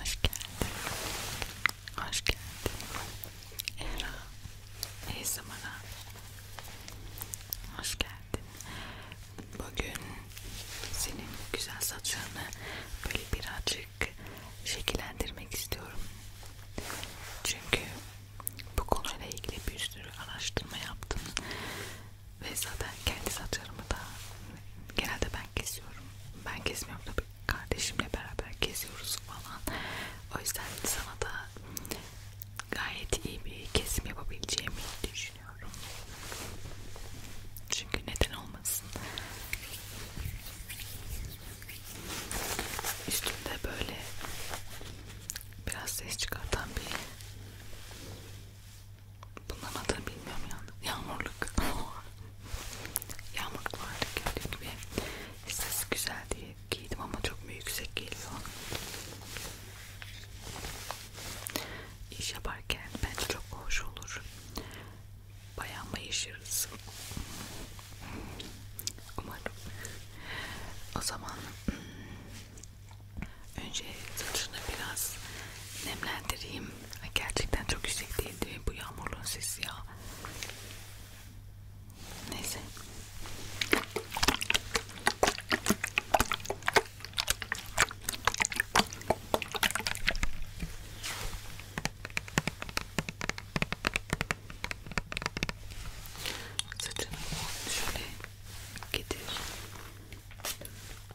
Hoş geldin. Hoş geldin. Era. İyi zamana. Hoş geldin. Bugün senin güzel saçlarını böyle birazcık şekillendirmek istiyorum. Çünkü bu konuyla ilgili bir sürü araştırma yaptım ve zaten kendi saçlarımı da genelde ben kesiyorum. Ben kesmiyorum tabii kardeşimle beraber kesiyoruz falan. O yüzden sana da gayet iyi bir kesim yapabileceğimi düşünüyorum. Çünkü neden olmasın? Üstümde böyle biraz ses çıkartan bir Bunların adını bilmiyorum yalnız. Yağmurluk. Yağmurluk vardı gördüğün gibi. Sesi güzel diye giydim ama çok mu yüksek geliyor. İş yaparken bence çok hoş olur. Bayağı mayışırız. Umarım. O zaman Önce saçını biraz nemlendireyim. Gerçekten çok yüksek değildi bu yağmurluğun sesi ya. Neyse. Saçını şöyle getir.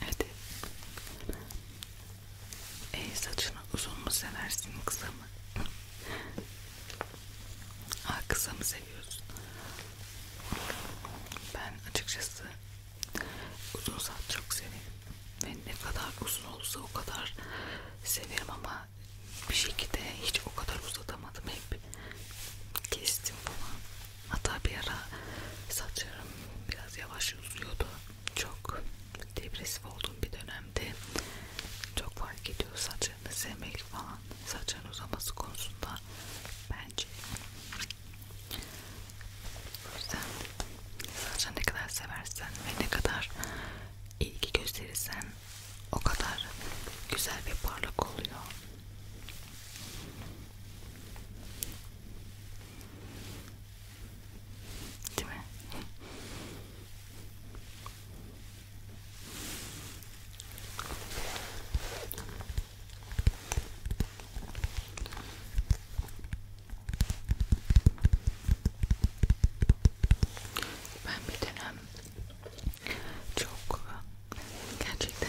Hadi. Ey saçını uzun mu seversin kısa mı? Ha, kısa mı seviyorsun? Ben açıkçası uzun saat çok severim. Ve ne kadar uzun olsa o kadar severim ama bir şekilde hiç o kadar uzatamadım. Hep kestim falan. Hatta bir ara saçlarım biraz yavaş uzuyordu. Çok depresif olduğum bir dönemde çok fark ediyor saçlarını sevmek falan saçların uzaması konusunda ben bence. O yüzden saçını ne kadar seversen ve ne kadar ilgi gösterirsen o kadar güzel ve parlak oluyor. Değil mi? Ben bir dönem çok gerçekten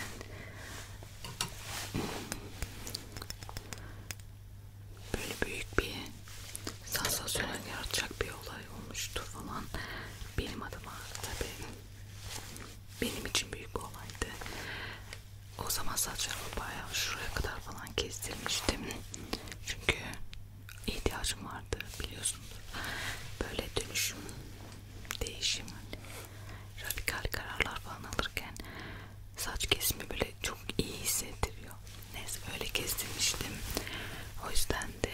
böyle büyük bir sansasyonel yaratacak bir olay olmuştu falan benim adıma tabii benim için büyük bir olaydı. O zaman saçlarımı bayağı şuraya kadar falan kestirmiştim. Çünkü ihtiyacım vardı biliyorsunuz. Böyle dönüşüm, değişim, hani radikal kararlar falan alırken saç kesimi böyle çok iyi hissettiriyor. Neyse öyle kestirmiştim. O yüzden de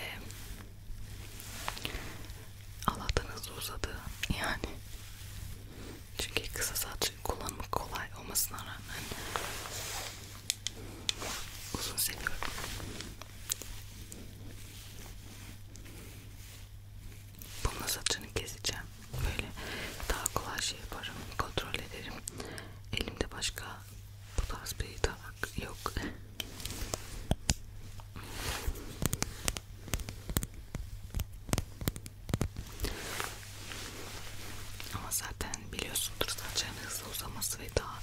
Allah'tan hızlı uzadı yani çünkü kısa saç kullanımı kolay olmasına rağmen uzun seviyorum. Bununla saçını keseceğim. Böyle daha kolay şey yaparım. Kontrol ederim. Elimde başka bu tarz bir tabak yok. Ama zaten biliyorsundur saçların hızlı uzaması ve daha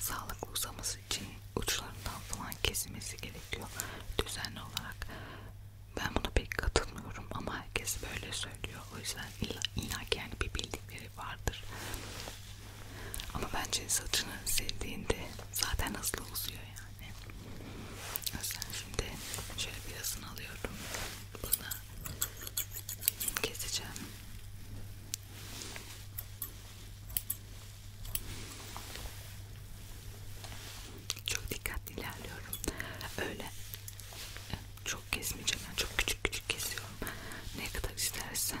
sağlıklı uzaması için uçlarından falan kesilmesi gerekiyor düzenli olarak. Ben buna pek katılmıyorum ama herkes böyle söylüyor. O yüzden illa, illa ki yani bir bildikleri vardır. Ama bence saçını sevdiğinde zaten hızlı uzuyor yani. Mesela şimdi şöyle birazını alıyorum. Bunu keseceğim. Çok dikkatli ilerliyorum. Öyle çok kesmeyeceğim. Yani çok küçük küçük kesiyorum. Ne kadar istersen.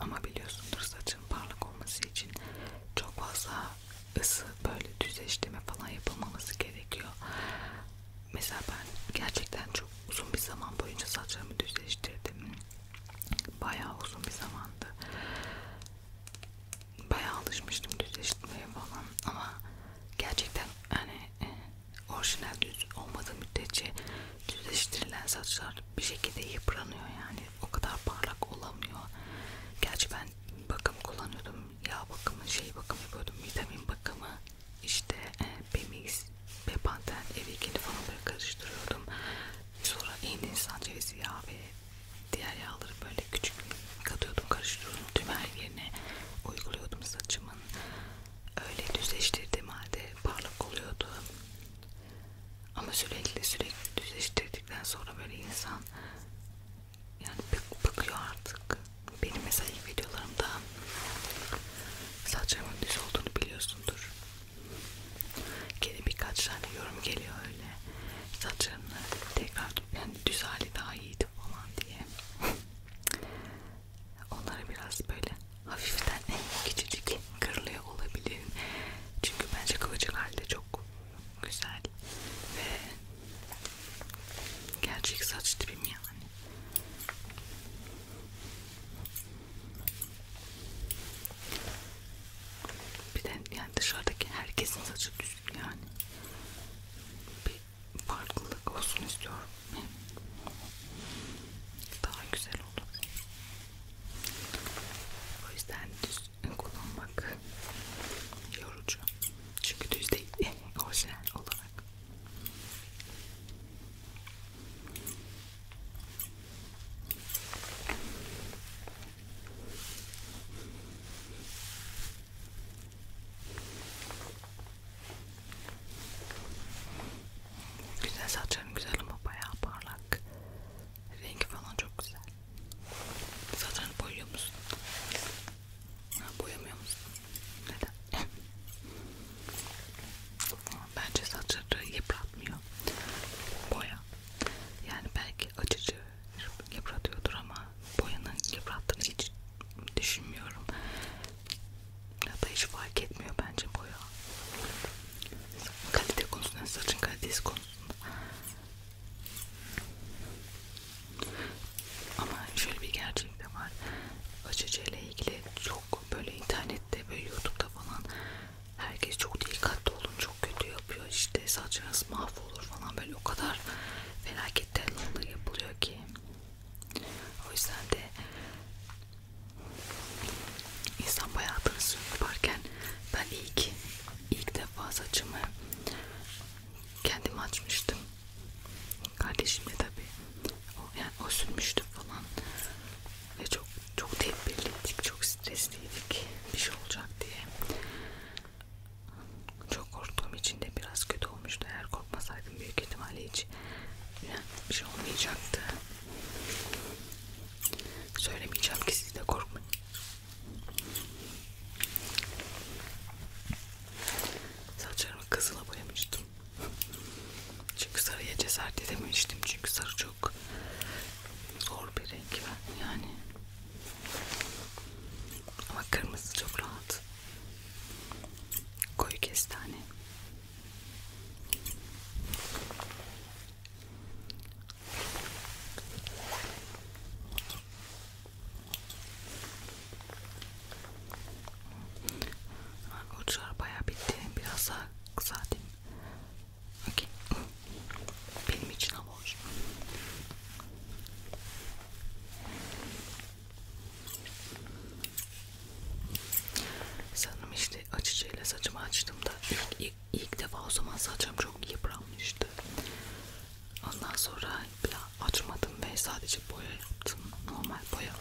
Ama biliyorsundur saçın parlak olması için çok fazla ısı böyle düzleştirme falan yapılmaması gerekiyor. Mesela ben gerçekten çok uzun bir zaman boyunca saçlarımı düzleştirdim. Bayağı uzun bir zamandı. Bayağı alışmıştım düzleştirmeye falan ama gerçekten hani eh, orijinal düz olmadığı müddetçe düzleştirilen saçlar bir şekilde yıpranıyor yani o kadar parlak olamıyor. Gerçi ben bakım kullanıyordum, yağ bakımı, şey bakımı yapıyordum, vitamin bakımı, işte e, Bemix, Bepanten, Evikeni falan böyle karıştırıyordum. Sonra en insan cevizi yağı ve diğer yağları böyle küçük katıyordum, karıştırıyordum tüm her yerine uyguluyordum saçımın öyle düzleştirdiğim halde parlak oluyordu. Ama sürekli sürekli düzleştirdikten sonra böyle insan yani bık, bıkıyor artık. Benim mesela ilk videolarımda saçlarımın düz olduğunu biliyorsundur. Gene birkaç tane yorum geliyor öyle. Saçlarımı tekrar yani düz hali daha iyiydi falan diye onları biraz böyle hafiften küçücük kırılıyor olabilir. Çünkü bence kıvırcık halde çok güzel ve gerçek saç tipim yani. Bir de yani dışarıdaki herkesin saçı düzgün yani. Bir farklılık olsun istiyorum. Daha güzel olur. O yüzden düz kullanmak yorucu. Çünkü düz değil. Orijinal olarak. Güzel saçların güzel ama bayağı parlak. Rengi falan çok güzel. Saçlarını boyuyor musun? Ha, boyamıyor musun? Neden? Bence saçları yıpratmıyor. Boya. Yani belki acıcı yıpratıyordur ama boyanın yıprattığını hiç düşünmüyorum. Ya da hiç fark etmiyor bence boya. Kalite konusunda, saçın kalitesi konusunda. Ama şöyle bir gerçek de var. Açıcı ile ilgili çok böyle internette, böyle YouTube'da falan herkes çok dikkatli olun, çok kötü yapıyor. İşte saçınız mahvolur falan böyle o kadar felaket tellallığı yapılıyor ki o yüzden de insan bayağı tansiyon yaparken ben ilk ilk defa saçımı kendim açmıştım. Kardeşim de tabi o yani o sürmüştü falan ve çok çok tedbirliydik, çok stresliydik bir şey olacak diye. Çok korktuğum için de biraz kötü olmuştu. Eğer korkmasaydım yapardım büyük ihtimalle hiç bir şey olmayacaktı. Söylemeyeceğim ki siz de korkmayın. Saçlarımı kızıla boyamıştım. Çünkü sarıya cesaret edememiştim. Çünkü sarı çok zor bir renk ben yani. Ama kırmızı çok rahat. Koyu kestane. Arkadaşlar bayağı bitti. Biraz daha kısaltayım. Okay. Benim için ama hoş. Sanırım işte açıcıyla saçımı açtığımda ilk, ilk, ilk defa o zaman saçım çok yıpranmıştı. Ondan sonra bile açmadım ve sadece boya yaptım. Normal boya.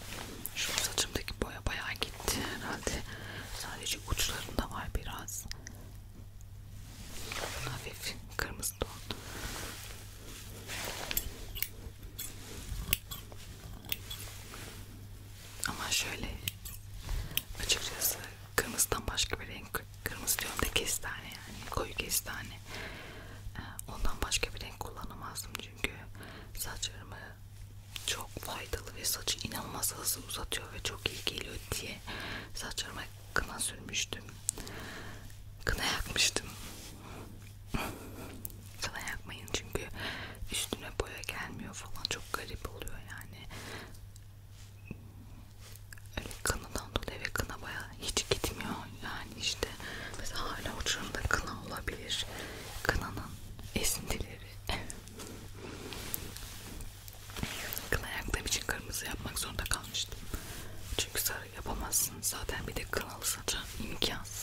Şu saçımdaki boya bayağı gitti herhalde. Sadece uçlarında var biraz. Hafif kırmızı ton. Ama şöyle açıkçası kırmızıdan başka bir renk kırmızı diyorum da kestane yani koyu kestane ee, ondan başka bir renk kullanamazdım çünkü saçlarımı çok faydalı ve saçı inanılmaz hızlı uzatıyor ve çok iyi geliyor diye saçlarıma kına sürmüştüm kına yakmıştım sana yakmayın çünkü üstüne boya gelmiyor falan çok garip oluyor yani. Öyle kınadan dolayı ve kına baya hiç gitmiyor yani işte mesela hala uçurumda kına olabilir kınanın esintileri kına yaktığım için kırmızı yapmak zorunda kalmıştım çünkü sarı yapamazsın zaten bir de kınalı saça imkansız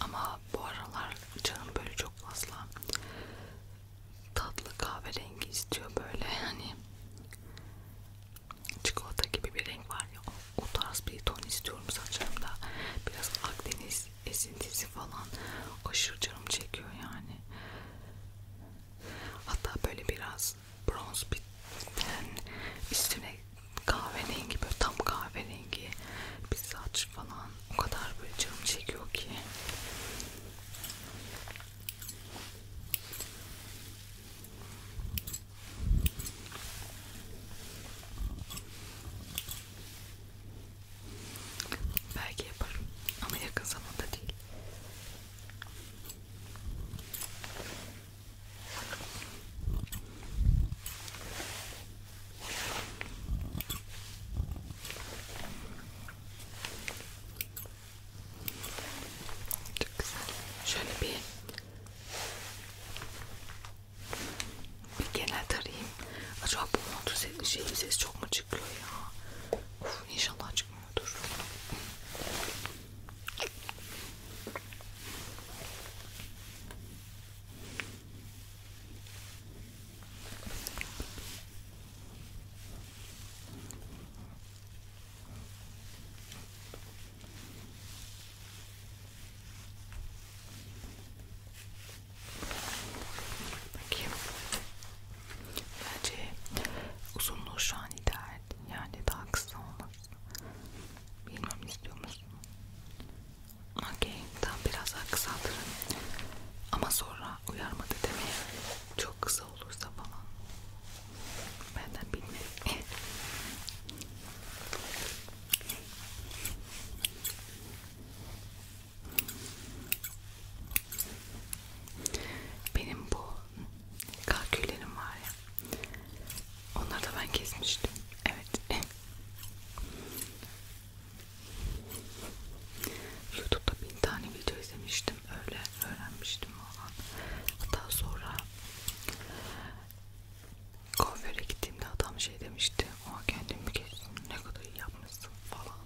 Ama bu aralar canım böyle çok fazla tatlı kahverengi istiyor böyle hani çikolata gibi bir renk var ya o, o tarz bir ton istiyorum saçlarımda biraz Akdeniz esintisi falan aşırı canım çekiyor yani. Hatta böyle biraz bronz bir ten üstüne kahverengi böyle tam kahverengi bir saç falan o kadar böyle canım çekiyor ki. Belki yaparım ama yakın zamanda değil. Çok güzel. Şöyle bir bir genel tarayayım. Acaba bu motor sesi, şeyin sesi çok mu çıkıyor ya? Of, inşallah çıkmıyordur. Bakayım. Bence uzunluğu şu an ideal. Yani daha kısa olmaz. Bilmem istiyor musun? Okey. Tam biraz daha kısaltırım. Ama sonra uyarmadı demeye çok kısa olursa falan. Benden bilmiyorum. Benim bu kalküllerim var ya. Onları da ben kesmiştim. Evet. YouTube'da bin tane video izlemiştim. Öyle öğrenmiştim falan. Hatta sonra kuaföre gittiğimde adam şey demişti o kendimi geçsin ne kadar iyi yapmışsın falan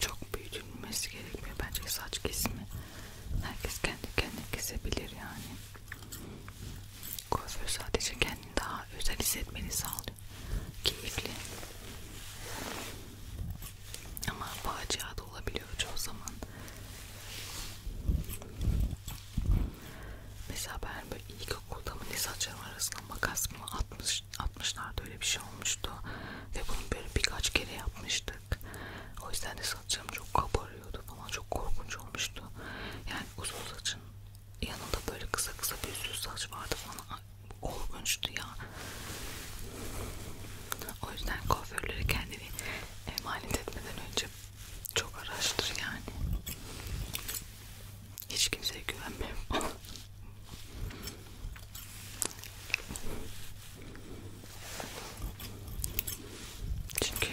çok büyütülmesi gerekmiyor bence saç kesimi herkes kendi kendine kesebilir yani kuaför sadece kendini daha özel hissetmeni sağlıyor keyifli ama facia da olabiliyor çoğu zaman Mesela ben böyle ilkokulda mı ne saçlarım arasına makas mı atmış, atmışlardı öyle bir şey olmuştu. Ve bunu böyle birkaç kere yapmıştık. O yüzden de saçlarım çok kabarıyordu falan çok korkunç olmuştu. Yani uzun saçın yanında böyle kısa kısa bir sürü saç vardı falan korkunçtu ya. O yüzden kuaförlere kendini emanet etmeden önce çok araştır yani. Hiç kimseye güvenmem. Çünkü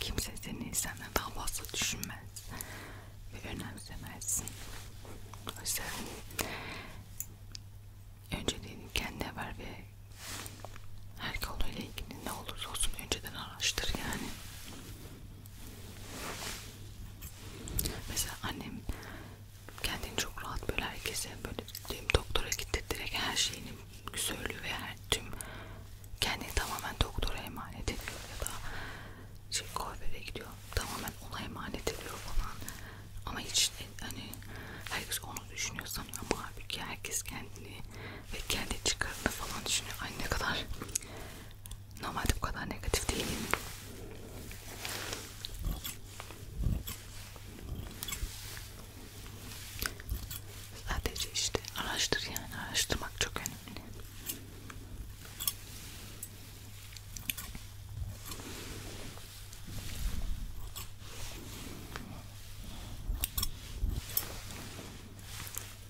kimse seni senden daha fazla düşünmez ve önemsemezsin. O yüzden önceliğini kendine ver ve her konuyla ilgili ne olursa olsun önceden araştır yani. Mesela annem kendini çok rahat böyle herkese böyle tüm doktora gitti direkt her şeyini söylüyor ve her tüm kendini tamamen doktora emanet ediyor ya da şey kuaföre gidiyor tamamen ona emanet ediyor falan ama hiç hani herkes onu düşünüyor sanıyor ama halbuki herkes kendini ve kendi çıkarını falan düşünüyor. Ay ne kadar normalde bu kadar negatif değilim. Sadece işte araştır yani araştırmak çok önemli.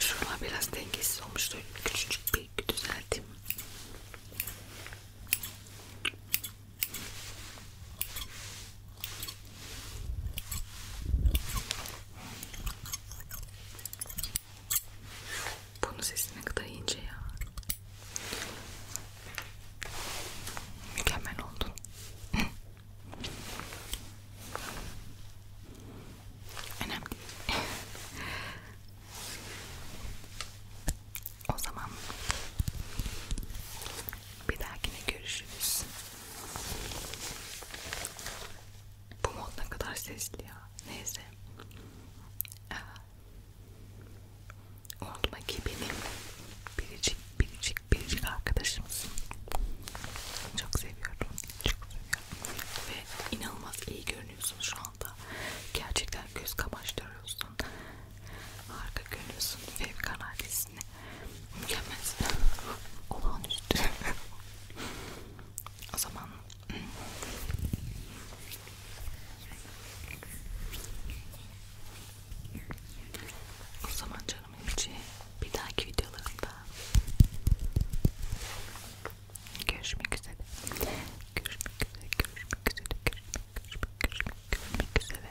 Şurada biraz dengesiz olmuştu. Küçücük bir düzelteyim. Bunun sesi ne kadar ince ya. Mükemmel oldun. Önemli değil. o zaman bir dahakine görüşürüz. Bu mod ne kadar sesli ya. Neyse. Unutma ki benim biricik biricik biricik arkadaşımsın. Çok seviyorum. Çok seviyorum görünüyor ve inanılmaz iyi görünüyorsun şu anda. Gerçekten göz kamaştırıyorsun. Harika görünüyorsun. Fevkaladesini mükemmelsin. Olağanüstü. o zaman o zaman canım içi bir dahaki videolarında Görüşmek üzere. Görüşmek üzere. Görüşmek üzere. Görüşmek, görüşmek, görüşmek üzere.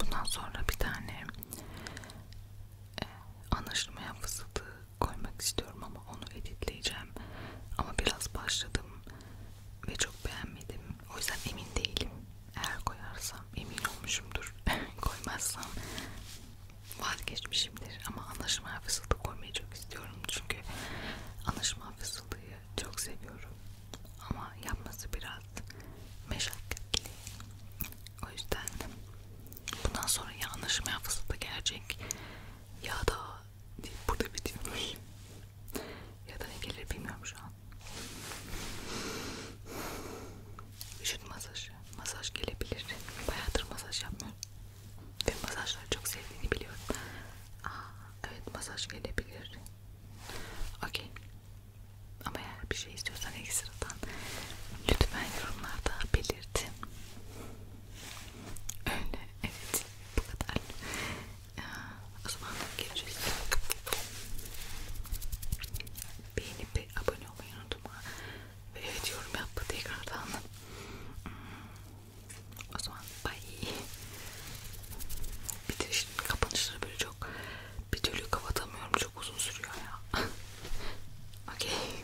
Bundan sonra bir tane e, anlaşılmayan fısıltı koymak istiyorum ama onu editleyeceğim. Ama biraz başladım ve çok beğenmedim. O yüzden emin değilim. Eğer koyarsam emin olmuşumdur. Koymazsam vazgeçmişimdir ama anlaşma hafızlığı koymayı çok istiyorum çünkü anlaşma hafızlığı çok seviyorum ama yapması biraz meşakkatli o yüzden bundan sonra ya anlaşma hafızlığı gelecek ya da burada bitiyormuş ya da ne gelir bilmiyorum şu an Vücut masajı. Masaj gelebilir. Bayağıdır masaj yapmıyorum. Ve masajları çok sevdiğini biliyorum. Aa, evet masaj gelebilir. Okey. Ama eğer bir şey istiyorsan ekstradan lütfen yorumlarda belirtin. Öyle evet bu kadar. O zaman geleceğiz. Beğenip abone olmayı unutma. Evet yorum yap tekrardan. Hmm. O zaman bay. Bitirişin kapanışları böyle çok bir türlü kapatamıyorum. Çok uzun sürüyor ya. Okey.